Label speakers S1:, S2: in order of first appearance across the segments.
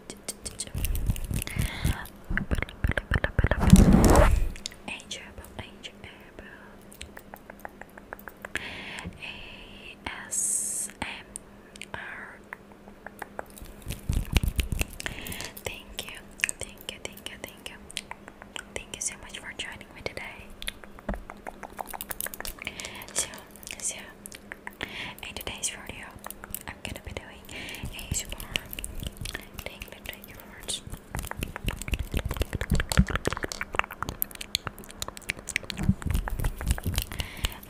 S1: ASMR. Thank you, thank you, thank you, thank you. Thank you so much for joining me today. So, so, in today's video, I'm gonna be doing ASMR tingling to your words.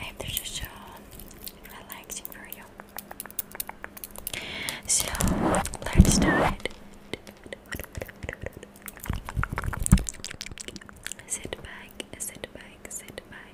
S1: I have to show uh, relaxing for you. So let's start. Sit back, sit back, sit back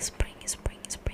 S2: Spring, spring, spring,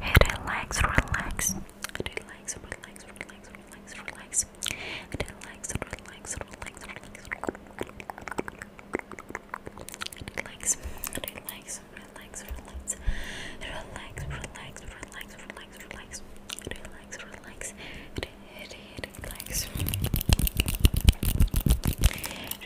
S2: Hey, relax, relax. Relax, relax, relax, relax, relax. Relax, relax, relax, relax. Relax, relax, relax, relax. Relax, relax, relax, relax, relax. Relax, relax, relax. Relax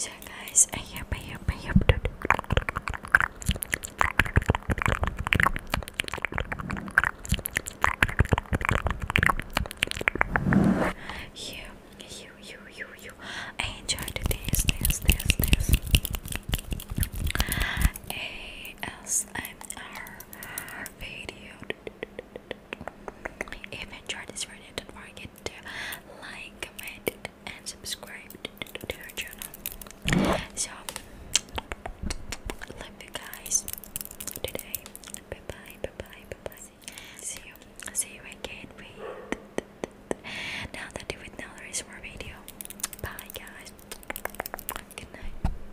S1: So, guys, I hope, I hope, I hope. You, you, you, you, you. I enjoyed this, this, this, this. ASMR video. If you enjoyed this video, don't forget to like, comment, and subscribe to our channel. So, love you guys today. Bye bye, bye bye, bye bye. See you, see you again. With now that with now there is more video. Bye guys. Good night.